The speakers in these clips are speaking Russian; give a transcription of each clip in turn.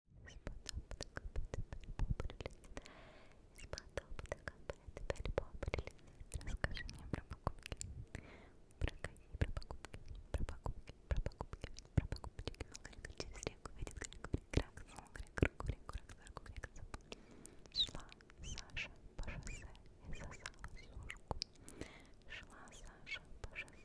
Расскажи мне про покупки. Про какие про покупки? Про покупки, про покупки, про покупки. Через реку видит крак, Шла Саша по шоссе и сосала сушку. Шла Саша по шоссе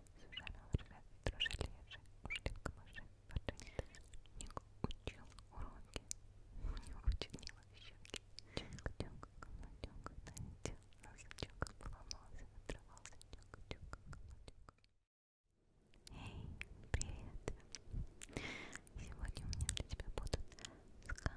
Совершенно лжет, дружележе, ушли в камыши, поженились. Ник учил уроки, у него учинила щеки. Чунг-чунг, камадюнг, налетел, носочок поломался, отрывался, чунг-чунг, камадюнг. Эй, привет! Сегодня у меня для тебя будут скороговорки.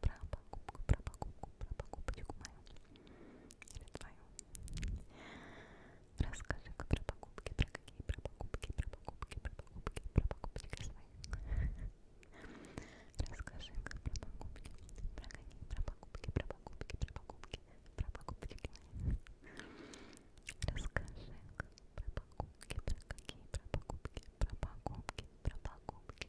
про покупку, про покупку, про покупочку мою или твою. Расскажи-ка про покупки, про какие про покупки, про покупки, про покупки, про покупочки свои. Расскажи-ка про покупки, про какие про покупки, про покупки, про покупки, про покупочки мои. Расскажи-ка про покупки, про какие про покупки, про покупки, про покупки,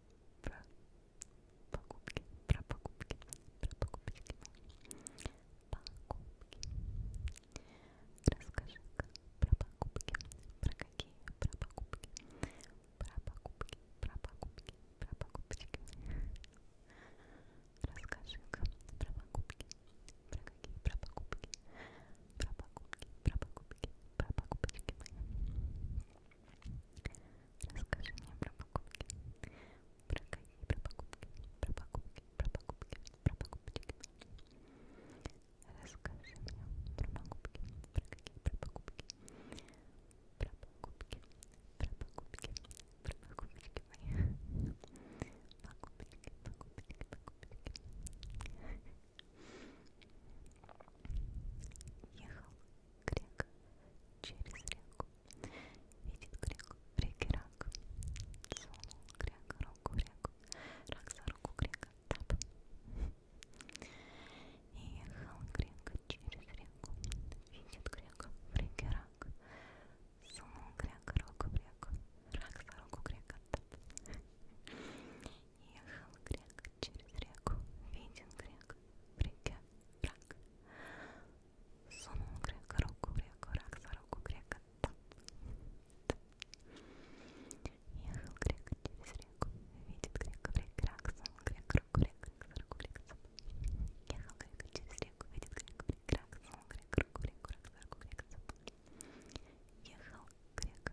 про покупки, про покупки, про покупки, покупки. Расскажи-ка про покупки, про какие, про покупки, про покупки, про покупки, про покупки. Расскажи-ка про покупки, про какие, про покупки, про покупки, про покупки, про покупки. Расскажи мне про покупки. Про какие про покупки? Про покупки, про покупки, про покупки. Расскажи мне про покупки. Про какие про покупки? Про покупки, про покупки, про покупки мои. Покупки, покупки, покупки. Ехал грек через реку, видит грек в реке рак, сунул грек руку в реку, рак за руку грека, тап. Ехал грек через реку, видит грек в реке рак, сунул грек руку в реку, рак за руку грека, тап. Ехал грек через реку, виден грек, в реке рак. Сунул грека руку в реку, рак за руку грека. Там, там. Ехал грек через реку, видит грека в реке рак, сунул грека руку в реку, рак за руку грека. Там. Ехал грека через реку, видит грека в реке рак, сунул грека руку в реку, рак за руку грека. Там. Ехал грек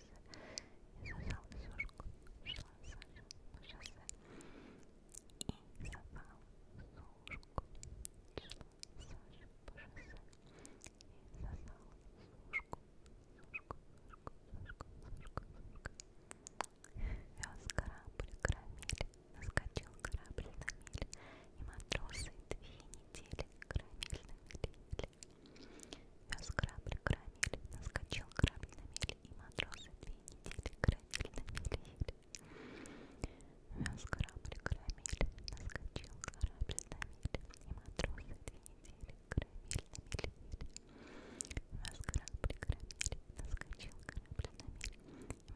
улыбнулся и сажал сушку, шла Саша по шоссе и сажал сушку, шла Саша по шоссе и сажал сушку, сушку, сушку, сушку, сушку, сушку вез корабль карамель, наскочил корабль на мель и матросы две недели карамель на мели Вез корабль громили, наскочил корабль на мели, и матросы две недели громили на мели Вез корабль громили, наскочил корабль на мели, и матросы две недели громили на мели Вез корабль громили, наскочил корабль на мели, и матросы две недели громили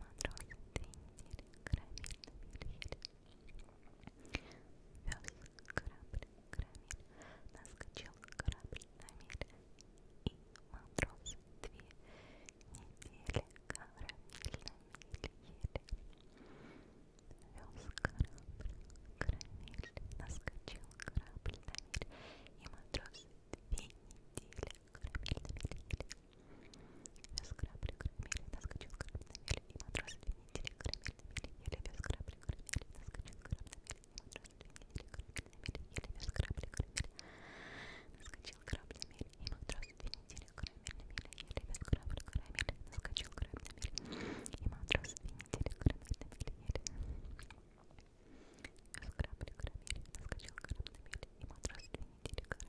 на мели Вез корабль карамель, наскочил корабль на мель, и матросы две недели карамель на мель ели. Вез корабль, карамель, наскочил корабль на мель, и матросы две недели карамель на мель ели. Вез корабль, карамель, наскочил корабль на мель, и матросы две или карамель или без крапли карамели, наскочил карамель, или без крапли карамели, наскочил карамель, и матрос две недели карамель, или без крапли карамели, наскочил карамель, и матрос две недели карамель, или без крапли карамели, наскочил карамель, и матрос две недели карамель,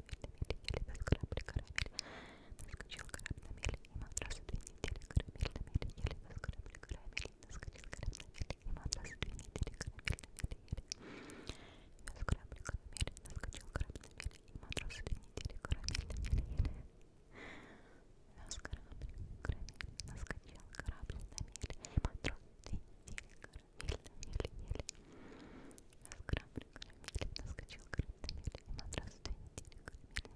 или без крапли карамели, Наскочил корабль на мель, и матрасы две недели, корабель на мель, еле нас корабли, корабель, наскочил корабль на мель, и матрасы две недели, корабель на мель, еле Вез корабли, корабель, наскочил корабль на мель, и матрасы две недели, корабель на мель, еле Вез корабль, корабель, наскочил корабль на мель, и матрасы две недели, корабель на мель, еле Вез корабль, корабель, наскочил корабль на мель, и матрасы две недели, корабель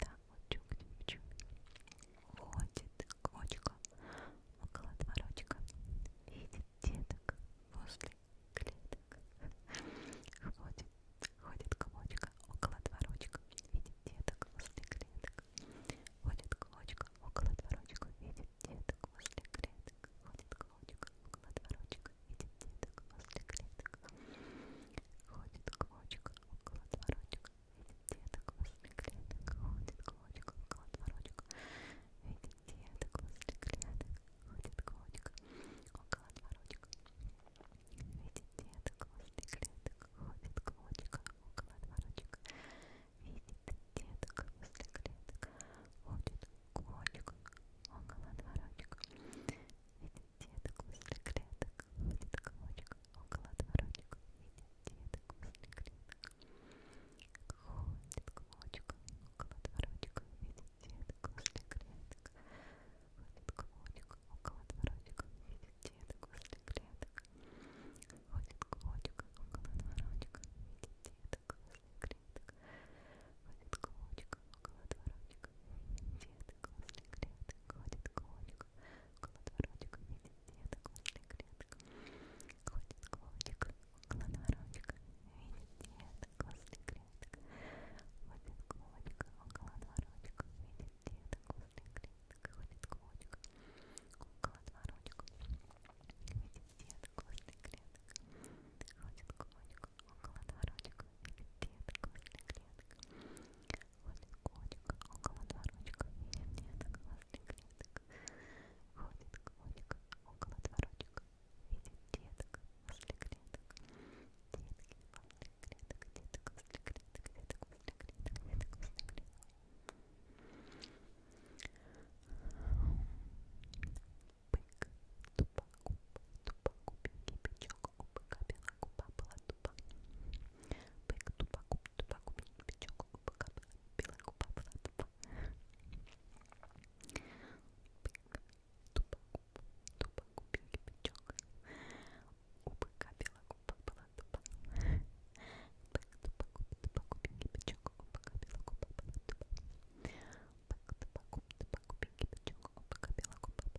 да, вот чук-чук-чук. Ходит кочка около дворочка, видит деток возле клеток. Ходит, ходит кочка около дворочка, видит деток возле клеток. Ходит кочка около дворочка, видит деток возле клеток. Ходит кочка около дворочка, видит деток возле клеток. Ходит клочок около дворочек, видит деток возле клеток. Ходит клочок около дворочек, видит деток возле клеток. Ходит клочок около дворочек, видит деток возле клеток. Ходит клочок около дворочек, видит деток возле клеток. Ходит клочок около дворочек, видит деток после клеток ходит комочек около дворочек. Видит деток после клеток. Ходит комочек около дворочек. Видит деток после клеток. Ходит комочек около дворочек. Видит деток после клеток. Ходит комочек около дворочек. Видит деток после клеток. Ходит комочек около дворочек. Деда Гослинг рядом ходит коник, около дворочка видит деда Гослинг рядом. Ходит коник, около дворочка видит деда Гослинг рядом. Ходит коник, около дворочка видит деда Гослинг рядом. Ходит коник, около дворочка видит деда Гослинг рядом. Ходит коник, около дворочка, видит деток, клетка. Ходит котик, около дворочка, видит деток, возле клеток. Ходит котик, около дворочка, видит деток, возле клеток. Детки, возле клеток, деток, возле клеток, деток, возле клеток, деток, возле клеток. Бык, туп, тупа, губа, тупа, губи, кипячок, губы, капела, губа была тупа. Бык, тупа, губ, тупа, губи, кипячок, губы, капела, белая губа была тупа. Бык, тупа, губ, тупа, губи, кипячок, губы, капела, губа была тупа. Бык, тупа, губ, тупа, губи, кипячок, губы, капела, губа была тупа. Бэк-то покупки, бычок, обыкновенный кубок, платба.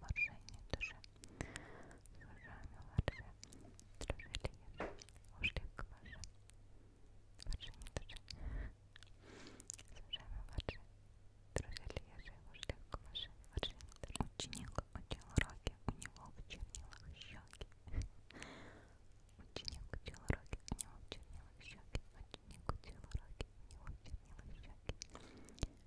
морженій душе, служами ларше, дружили еже, ушлик ваше, морженій душе, служами ларше, дружили еже, ушлик ваше, морженій душе. Ученик учил уроки, у него в чернилах щеки. Ученик учил уроки, у него в чернилах щеки. Ученик учил уроки, у него в чернилах щеки.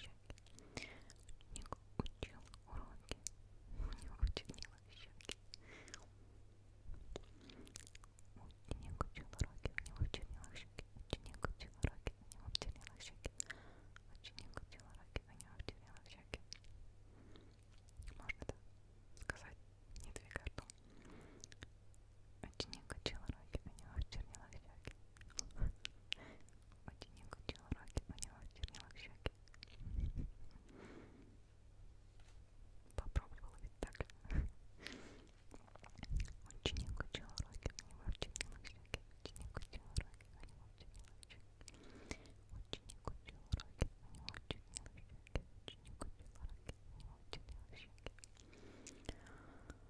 щеки. Ученик учил уроки. Не учинила щеки. Ученик учил уроки, у него чернила щеки. Ученик учил уроки, у него чернила щеки. Ученик учил уроки, у него чернила щеки. Можно это сказать, не двигая ртом. Ученик учил уроки, у него чернила щеки. Ученик учил уроки, у него в чернилах щеки. Попробовала ведь так. Ученик учил уроки, у него в чернилах щеки. Ученик учил уроки, у него в чернилах щеки. Ученик учил уроки, у него в чернилах щеки. Ученик учил уроки, у него в чернилах щеки.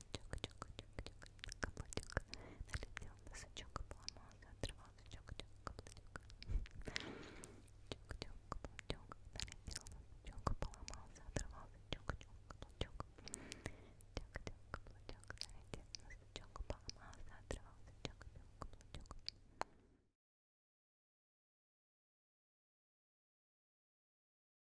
Чука-чука-чука-чука-чука-чука. Налетел носочок и поломался, отрывался чука-чука-каблучок. Чука-чука-каблучок. Налетел носочок и поломался, отрывался чука-чука-каблучок. Чука-чука-каблучок. Налетел носочок и поломался, отрывался чука-чука-каблучок.